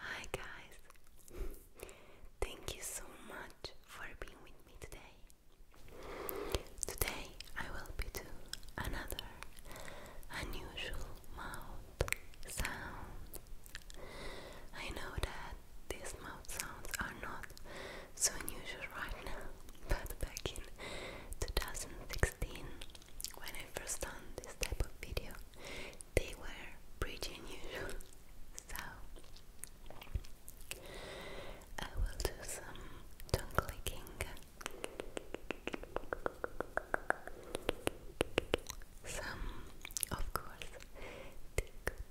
Hi guys! Thank you so much for being with me today. Today I will be doing another unusual mouth sound. I know that these mouth sounds are not so unusual right now, but back in 2016, when I first done this type of video, they were pretty unusual. So I will do some tongue clicking, some, of course,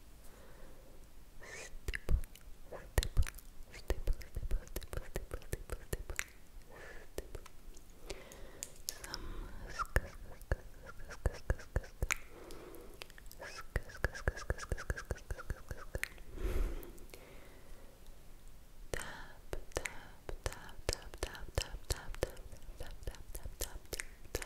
Stipple, stipple, stipple, stipple, stipple, stipple, stipple, stipple, stipple. Some sk sk sk sk sk sk sk sk sk sk sk sk sk sk sk sk Tap, tap, tap, tap, tap, tap, tap, tap, tap, tap, tap, tap, tap, tap.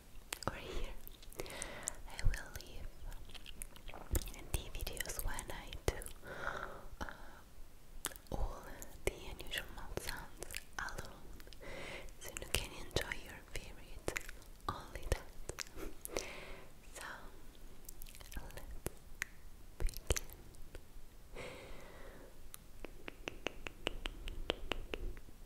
or here. I will leave the videos when I do uh, all the unusual sounds alone, so you can enjoy your favorite only that. so let's begin.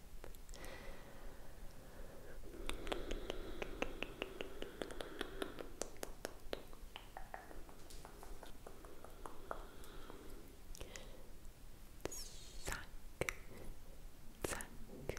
Zack, zack, and zack,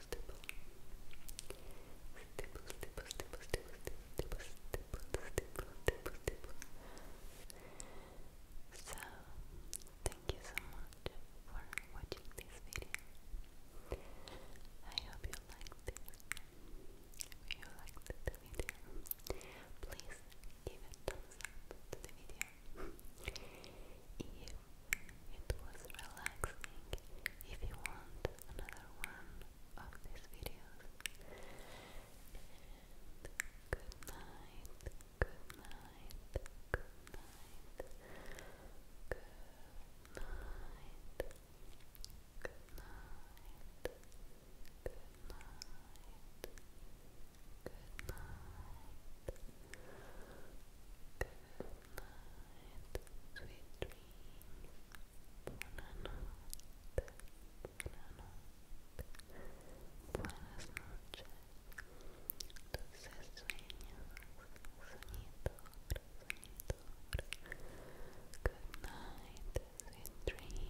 So, thank you so much for watching this video. I hope you liked it. If you liked the video, please give a thumbs up It was relaxing. If you want another one of these videos. good night, good night, good night, good night, good night, good night. Good night night, sweet dreams. buenas noches. Dulces sueños, Good night, sweet dreams. Calispera.